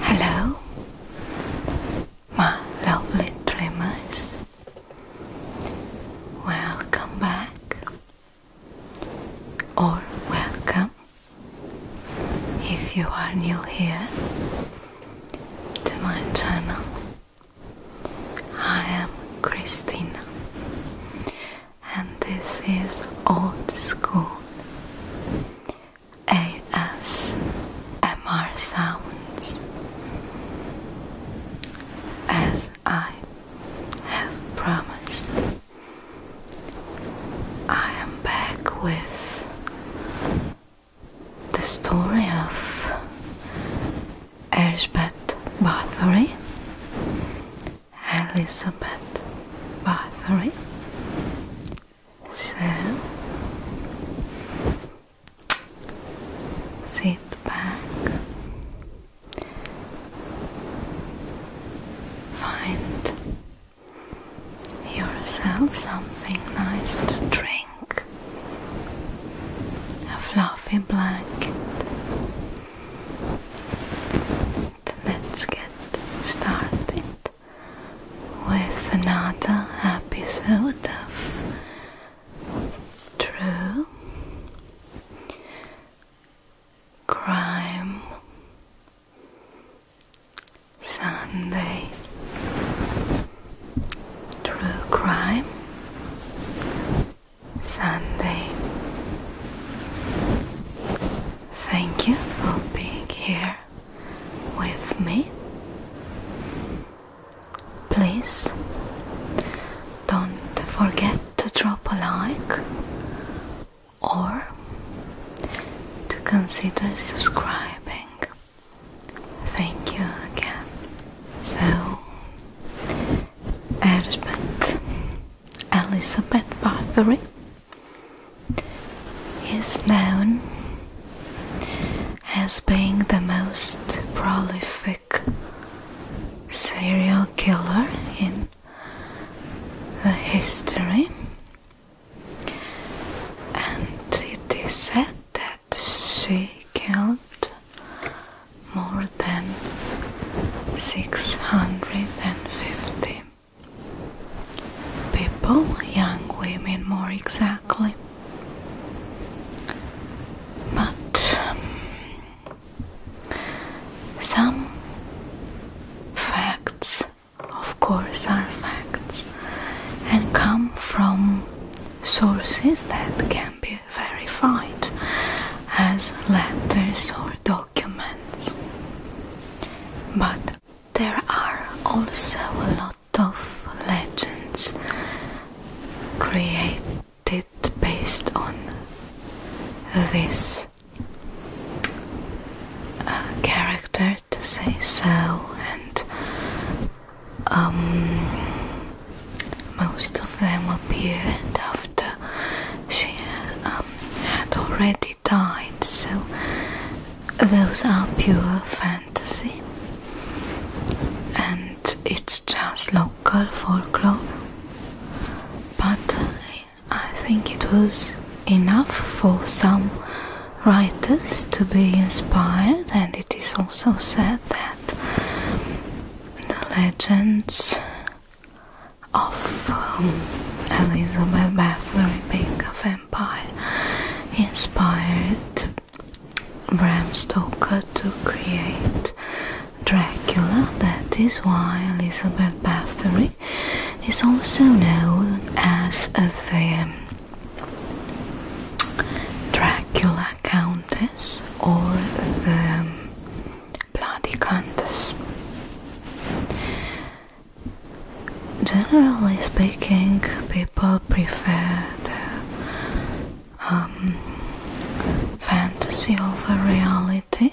Hello, my lovely dreamers. Welcome back, or welcome if you are new here to my channel. I am Christina, and this is Old School. ASMR sounds as I have promised. I am back with the story of Elizabeth Bathory. Elizabeth Bathory so sit back, find yourself something nice to drink, a fluffy blanket. Let's get started with another episode of True Crime Sunday True Crime Sunday. Thank you for being here with me? Please don't forget to drop a like or to consider subscribing. Thank you again. So, Elizabeth, Elizabeth Bathory is known as being the most prolific serial killer in the history and it is said that she killed more than 650 people, young women more exactly. But um, some facts, of course, are facts and come from sources that can be verified as letters or documents. But there are also a lot of legends created based on this uh, character, to say so, and um, most of them appeared after she um, had already died, so those are pure fantasy and it's just local folklore but I think it was enough for some writers to be inspired and it is also said that the legends of um, Elizabeth Bathory Baker inspired Bram Stoker to create Dracula. That is why Elizabeth Bathory is also known as the Dracula Countess or the Bloody Countess. Generally speaking, people prefer the um, fantasy over reality,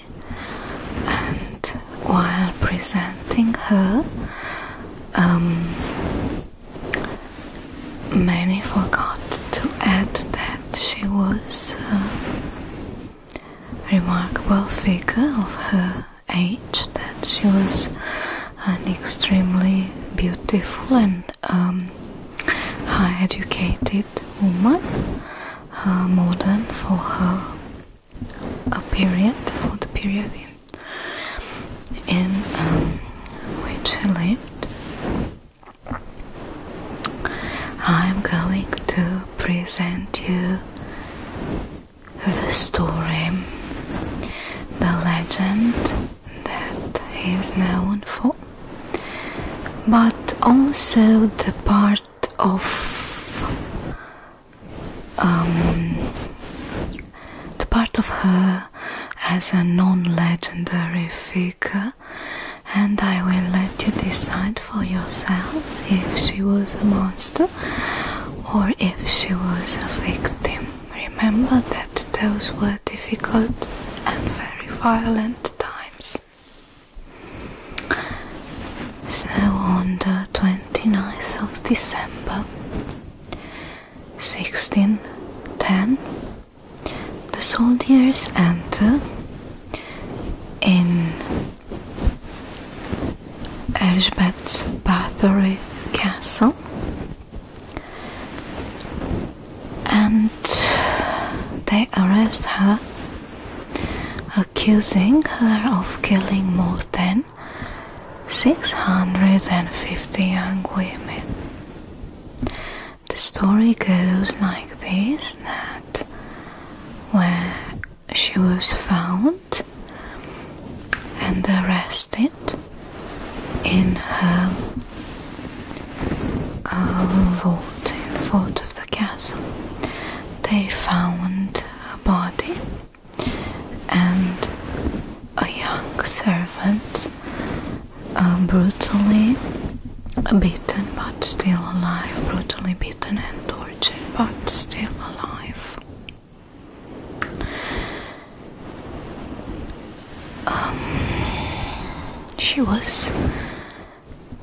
and while presenting her, um, many forgot to add that she was a remarkable figure of her age that she was an extremely beautiful and um, high educated woman, uh, modern for her a period, for the period in, um, which she lived. I'm going to present you the story, the legend that he is known for, but also the part of um, the part of her as a non-legendary figure and I will let you decide for yourselves if she was a monster or if she was a victim. Remember that those were difficult and very violent times. So on the 29th of December 1610, the soldiers enter in Erzbeth's Bathory Castle and they arrest her, accusing her of killing more than 650 young women. The story goes like this that where she was found and arrested in her uh, vault in the vault of the castle. They found a body and a young servant, um, brutally beaten but still alive, brutally beaten and tortured but still alive. Um, she was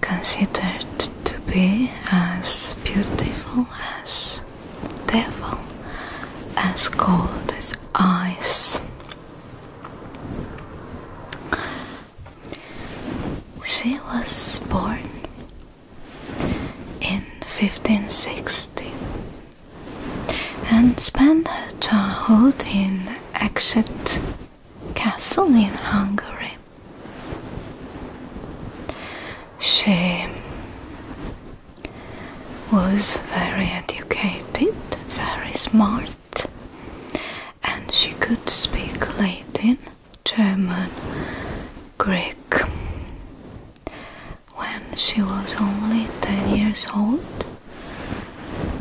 considered to be as beautiful as devil, as cold as ice. She was born in 1560 and spent her childhood in Exet Castle in Hungary. She was very educated, very smart, and she could speak Latin, German, Greek, when she was only 10 years old.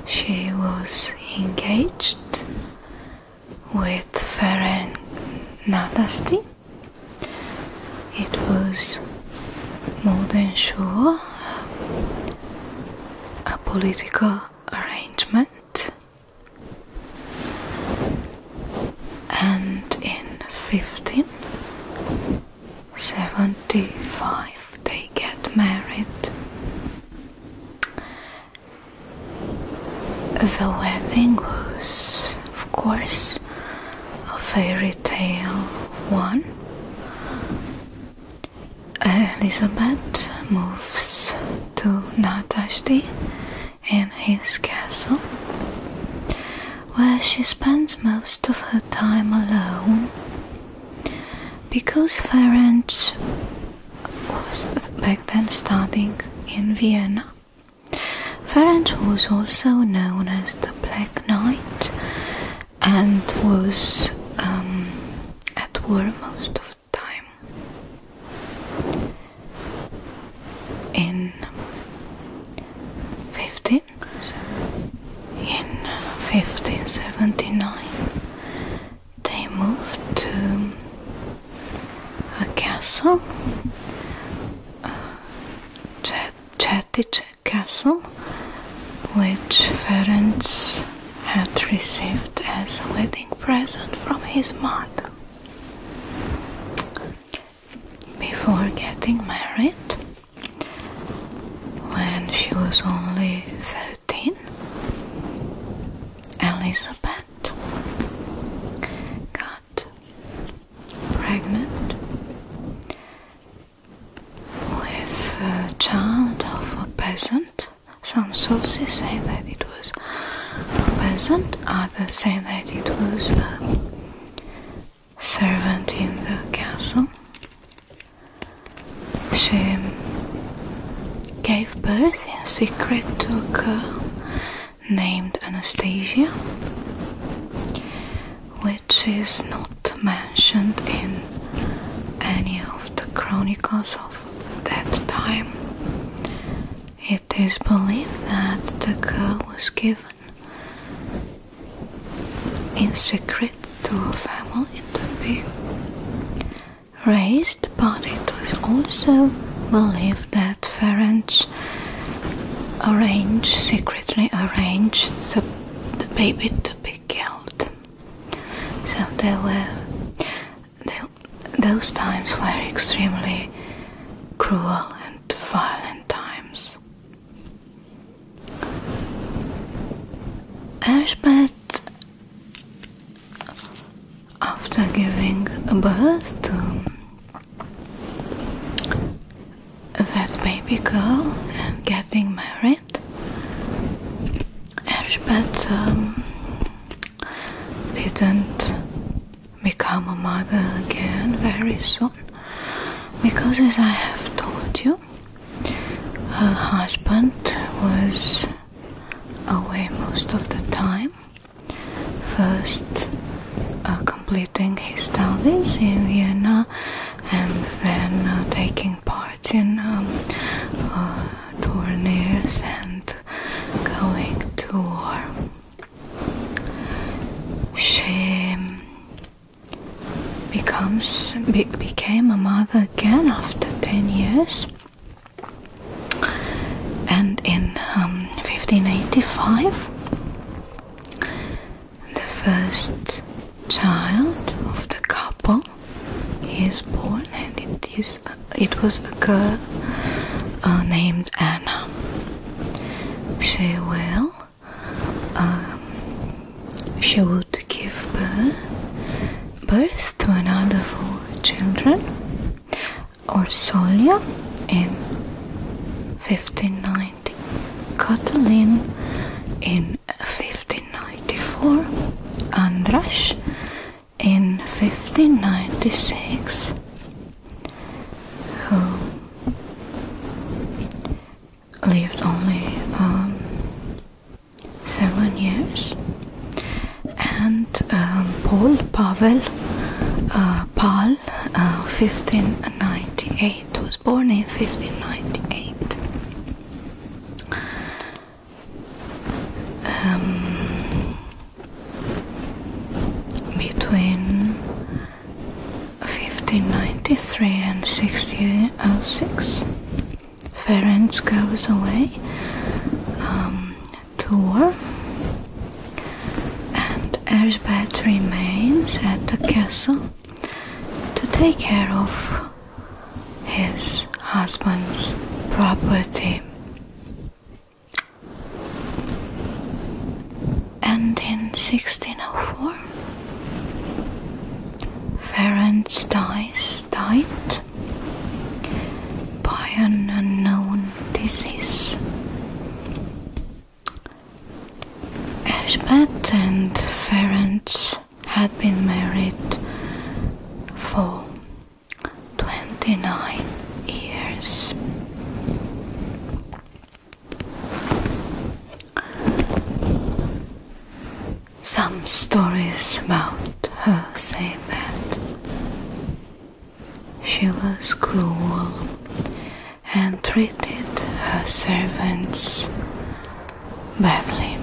She was engaged with Feren Nadasti. It was more than sure uh, a political arrangement, and in 15 75 they get married. The wedding was, of course, a fairy tale one. Elizabeth moves to Natashti and his castle where she spends most of her time alone because Ferenc was back then studying in Vienna. Ferenc was also known as the Black Knight and was um, at war most of the time in 15 Spain in 1579 they moved to a uh, castle uh, Castle which Ferenc had received as a wedding present from his mother. Before getting married, when she was only 13, Elizabeth got pregnant with a child of a peasant. Some sources say that it was a peasant, others say that it was a servant in the castle. She gave birth in secret to a girl named Anastasia, which is not mentioned in any of the chronicles of that time. It is believed that the girl was given in secret to a family interview. Raised, but it was also believed that Ferenc arranged, secretly arranged the, baby to be killed. So there were those times were extremely cruel and violent times. Elspeth, after giving birth to that baby girl and getting married, Elspeth um, didn't become a mother again very soon because, as I have told you, her husband was away most of the time, first uh, completing his studies in Vienna and then uh, taking part in um, uh, tourneys and going to war. She becomes became a mother again after 10 years and in 1585 um, the first child of the couple is born and it is it was a girl uh, named Anna she will um, she would give birth, to another four children, Orsolia in 1590, Catalin in 1594, Andras in 1596, lived only um, seven years, and um, Paul Pavel uh, Pal, 1598, uh, was born in 1598. Um, between 1593 and 1606. Ferrand goes away um, to war, and Erzbeth remains at the castle to take care of his husband's property. And in 1604, more. dies died by an unknown disease. Ashbat and Ferent had been married for 29 years. Some stories about her say that she was cruel and treated her servants badly.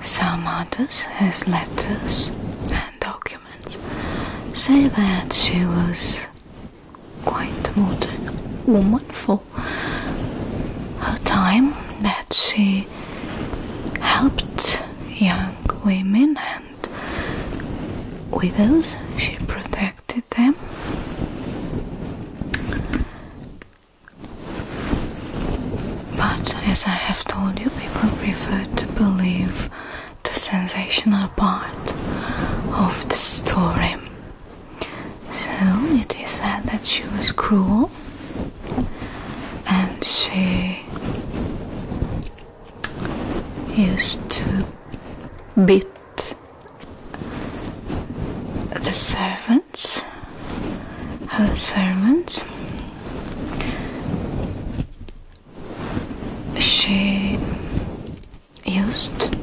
Some others, his letters and documents, say that she was quite modern woman for her time that she helped young women and widows, she protected them. But as I have told you, people prefer to believe the sensational part of the story so it is said that she was cruel and she used to beat the servants, her servants. She used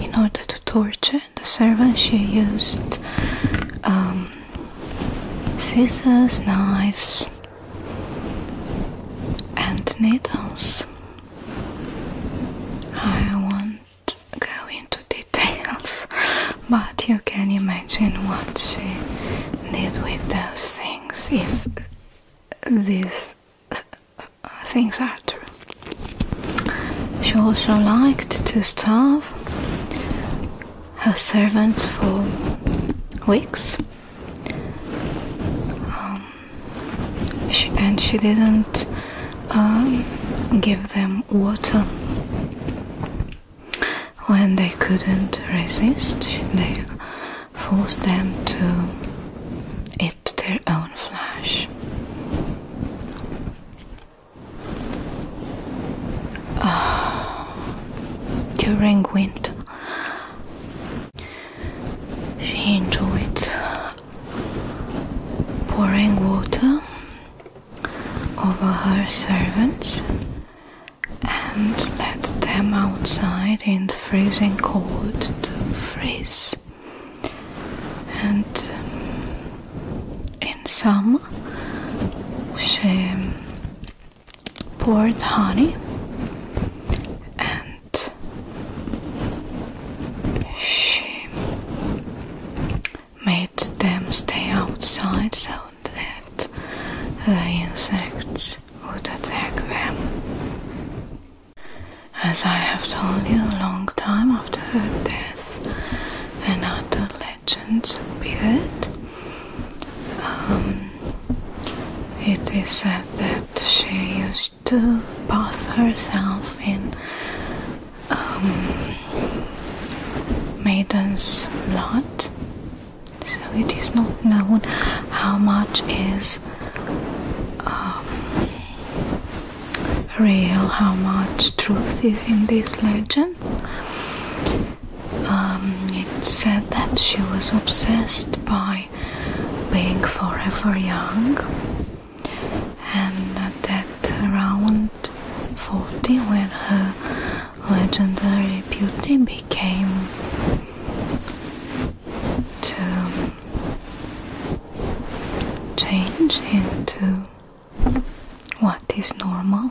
in order to torture the servant she used um, scissors, knives, and needles. I won't go into details, but you can imagine what she did with those things if these things are true. She also liked to starve her servants for weeks. Um, and she didn't um, give them water when they couldn't resist. They forced them to eat their own flesh. during winter. She enjoyed pouring water over her servants and let them outside in freezing cold to freeze and um, in some she um, poured honey and she made them stay outside so that the insects would attack them. As I have told you a long time after this and other legends appeared. Um, it is said that she used to bath herself in um, maiden's blood, so it is not known how much is um, real, how much truth is in this legend. Um, it said that she was obsessed by being forever young, and that around 40, when her legendary beauty became to change into what is normal.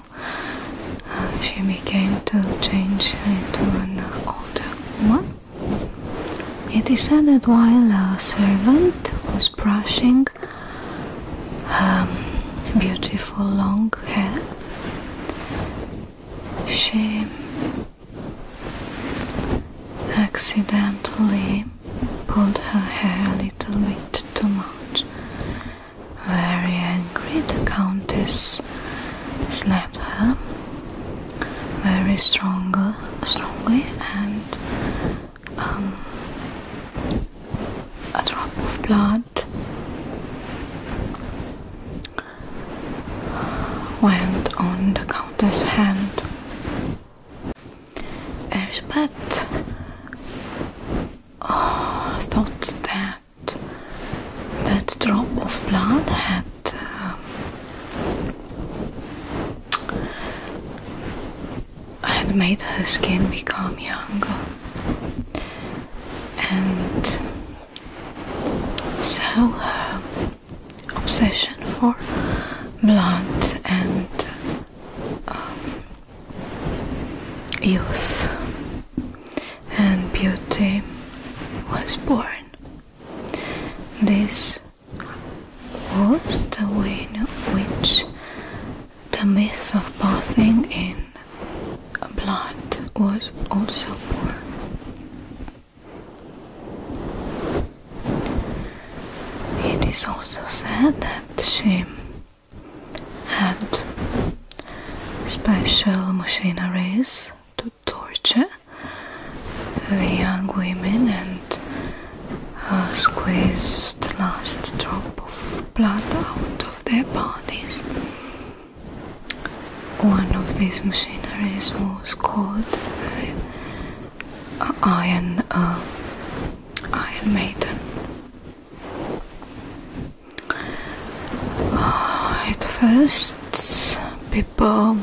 Uh, she began to change into an older woman. It is said that while a servant was brushing her beautiful long hair, she accidentally pulled her hair a little bit too much. Very angry, the countess slapped her very stronger, strongly, and um, a drop of blood went on the countess' hand. Elspeth uh, thought that that drop of blood had um, had made her skin become younger, and so her obsession for blood and um, youth and beauty was born. This was the way in which the myth of bathing in blood was also born. It is also said that she had special machineries to torture the young women and uh, squeezed the last drop of blood out of their bodies. One of these machineries was called the uh, Iron, uh, Iron Maiden. At first, people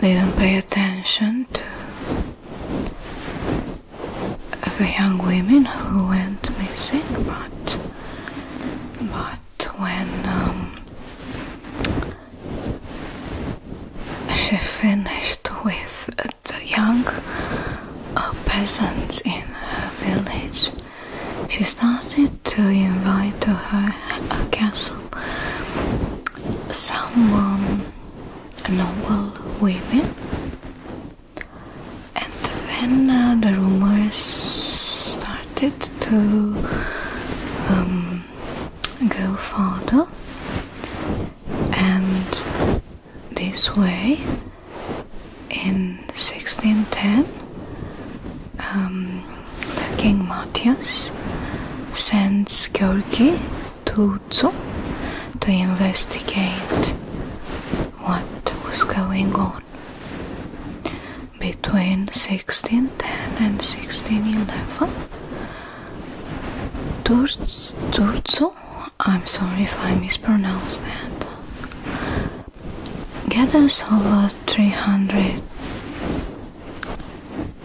didn't pay attention to the young women who went missing, but but when um, she finished with the young uh, peasants in her village. She started to invite to her, her castle some um, noble women, and then uh, the rumors started to um, go further and this way in 1610 um, King Matthias sends Georgi to Uzo to investigate what was going on between 1610 and 1611 Turzo I'm sorry if I mispronounced that. Get us over 300.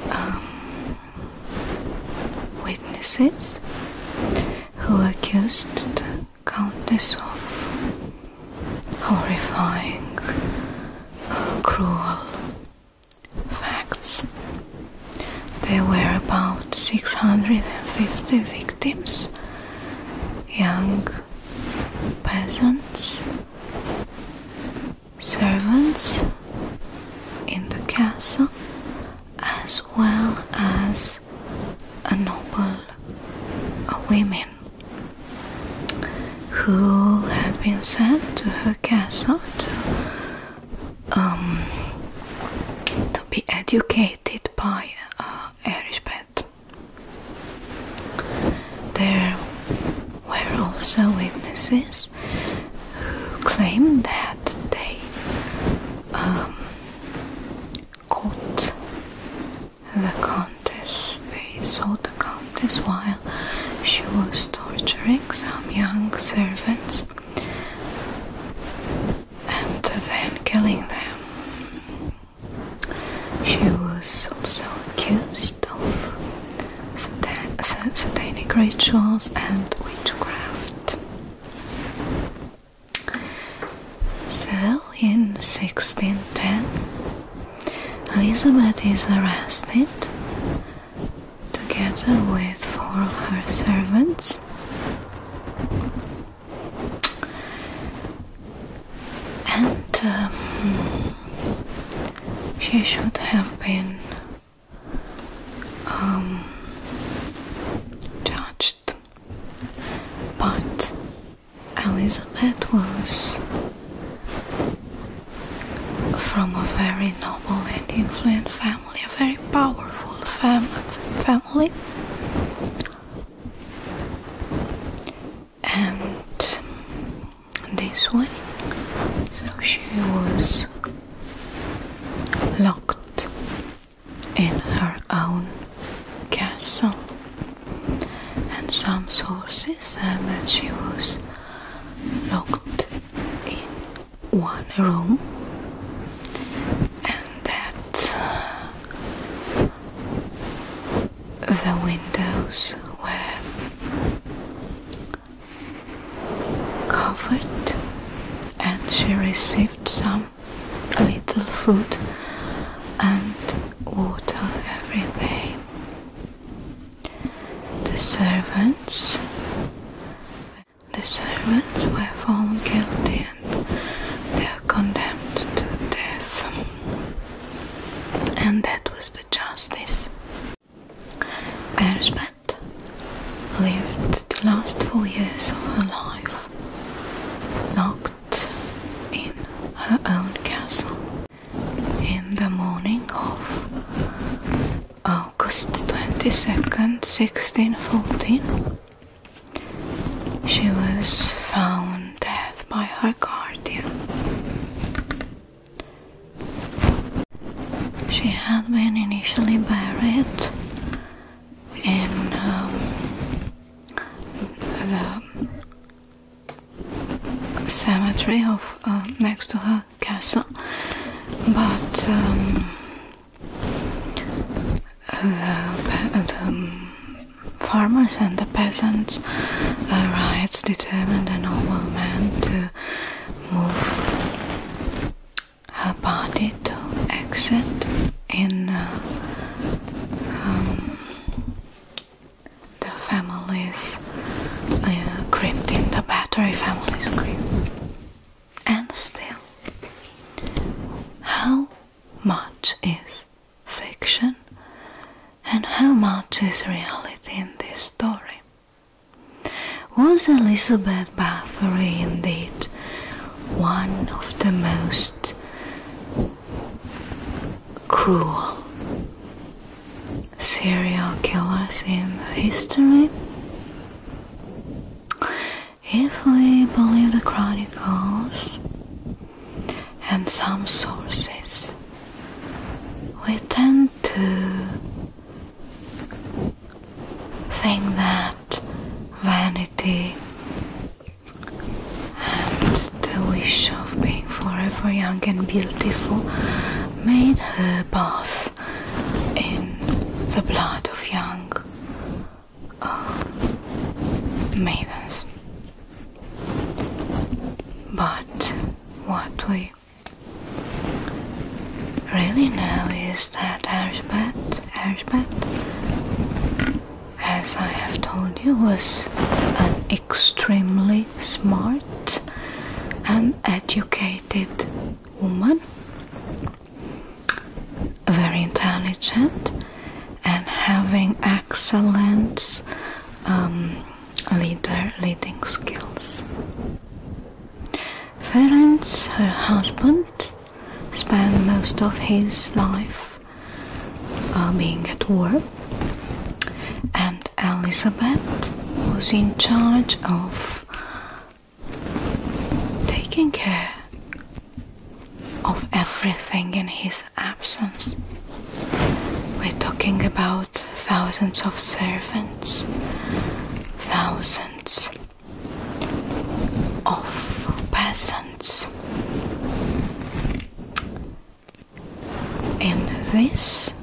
Um, witnesses who accused the Countess of horrifying, uh, cruel, Facts There were about 650 victims, young peasants, servants in the castle, as well as a noble a women who had been sent to her castle to um, to be educated by uh, Erishbet. There were also witnesses who claimed that they um, caught the countess. They saw the countess while she was torturing some young servants and then killing them. She was also accused of satan great rituals and witchcraft. So, in 1610, Elizabeth is arrested together with four of her servants. And um, she should have been um, judged, but Elizabeth was from a very noble and influential family a very powerful family, and this one, so she was locked in her own castle, and some sources said that she was locked in one room and that uh, the windows were covered and she received some little food and water every day. The servants the servants were found guilty and they are condemned to death. And that was the justice. Erzbeth lived the last four years of her life locked in her own castle. In the morning of August 22nd, 1614, she was found dead by her guardian. She had been initially buried in um, the cemetery of uh, next to her castle, but um, uh, the, um, farmers and the peasants' riots rights determined a man to move her body to exit in uh, um, the family's uh, crypt in the battery family's crypt and still. How much is fiction and how much is reality in this story? Was Elizabeth Bathory indeed one of the most cruel serial killers in history? If we believe the chronicles and some sources, we tend to think that vanity and the wish of being forever young and beautiful made her bath in the blood of young maidens. But what we really know is that Ashbat, Ashbat, as I have told you, was an extremely smart and educated woman very intelligent and having excellent um, leader leading skills. Ferenc, her husband, spent most of his life uh, being at work, and Elizabeth was in charge of taking care of everything in his absence. We're talking about thousands of servants, thousands of peasants. In this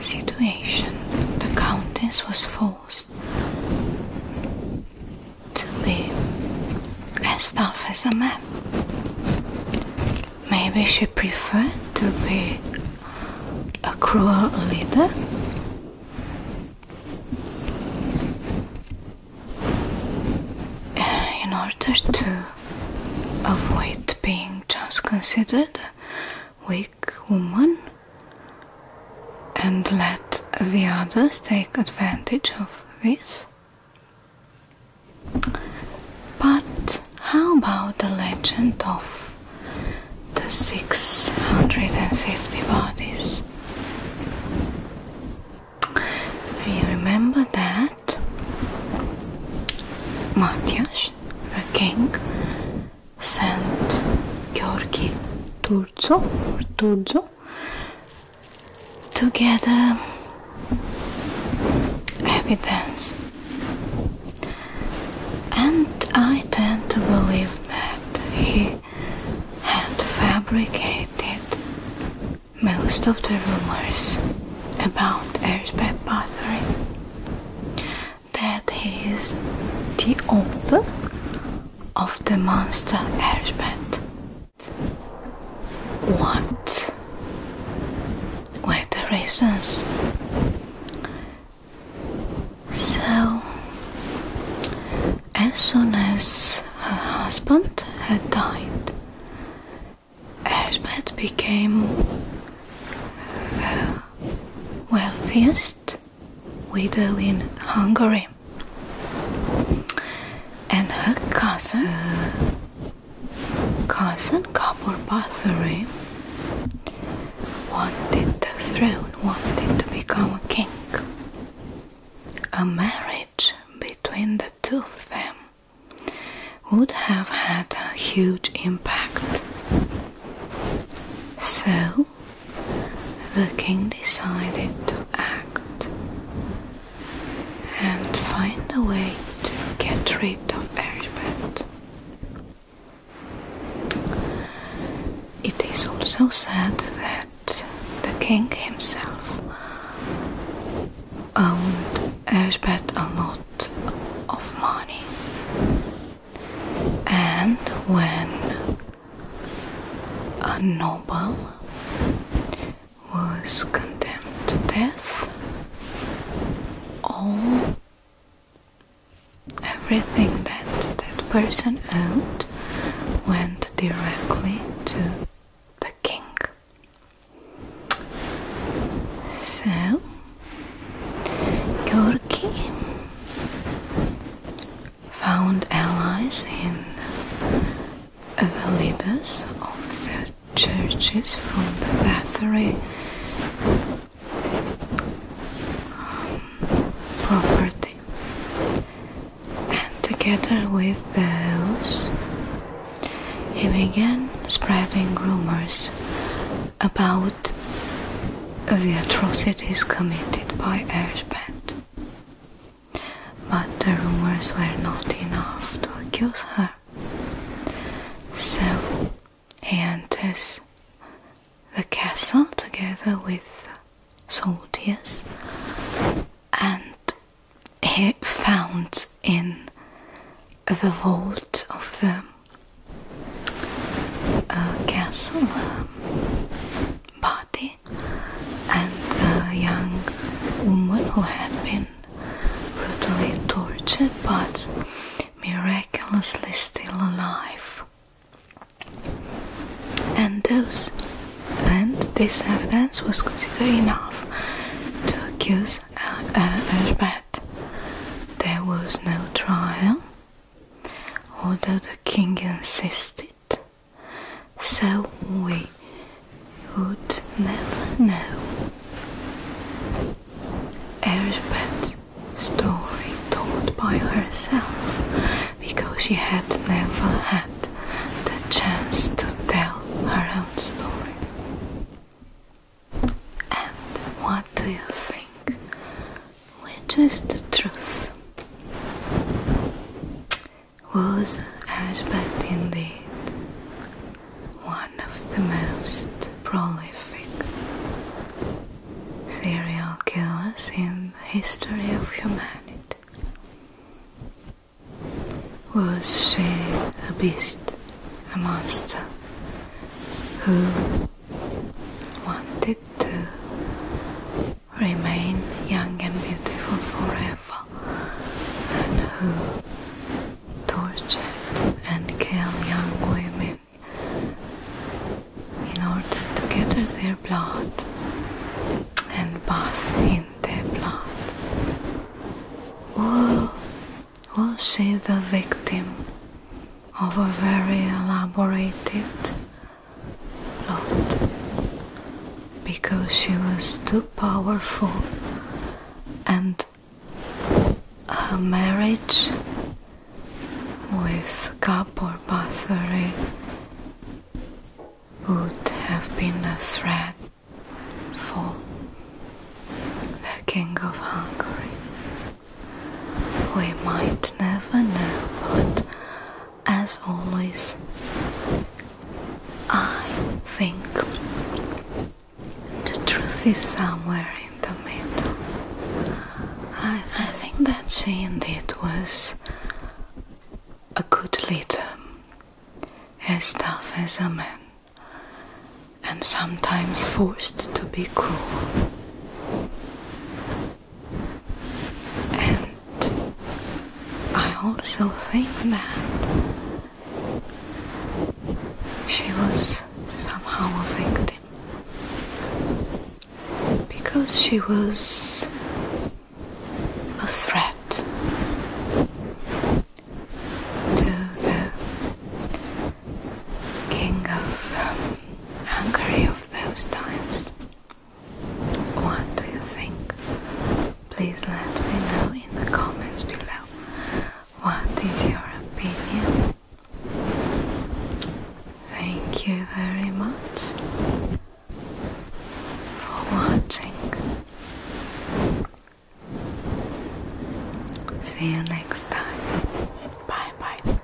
situation, the countess was full to be as tough as a man. Maybe she preferred to be a cruel leader. Eh, in order to avoid being just considered weak take woman and let the others take advantage of this? But how about the legend of the 650 bodies? We remember that Matthias, the king, Saint Georgi Turzo Turzo Together, get uh, evidence. And I tend to believe that he had fabricated most of the rumors about Elizabeth Battery that he is the author of the monster Erzbeth. What were the reasons? So, as soon as her husband had died, Erzbeth became the wealthiest we do in Hungary. And her cousin, cousin Gabor Bathory, wanted the throne, wanted to become a king. A marriage between the two of them would have had a huge impact. So the king decided to act and find a way to get rid of Erzbet. It is also said that the king himself owned Erzbet a lot of money, and when a noble was condemned to death. All everything that that person owned went directly to the king. So your king found allies in the leaders of the churches from the Bathory um, property, and together with those, he began spreading rumors about the atrocities committed by Erzband. But the rumors were not enough to accuse her. So he enters the castle together with soldiers and he found in the vault of the uh, castle um, and a young woman who had been brutally tortured but miraculously still alive. And those and this evidence was considered enough to accuse Erzbet. There was no trial, although the king insisted. So we would never know. Elspeth's story told by herself because she had never had the chance to tell her own story. And what do you think which is the truth, was Ashbeck indeed one of the most prolific serial killers in the history of humanity. Was she a beast, a monster, who wanted to remain young and beautiful forever, and who tortured and killed young women in order to gather their blood and bath in their blood. Or was she the victim of a very elaborated lot because she was too powerful and her marriage with Kapor Bathory would have been a threat for the King of Hungary. We might never know, what as always. I think the truth is somewhere in the middle. I, think that she indeed was a good leader, as tough as a man, and sometimes forced to be cruel. And I also think that she was somehow a victim because she was a threat to the king of Hungary of those times. What do you think? Please let me know in the comments below. What is your opinion? Thank you very much for watching. See you next time. Bye bye.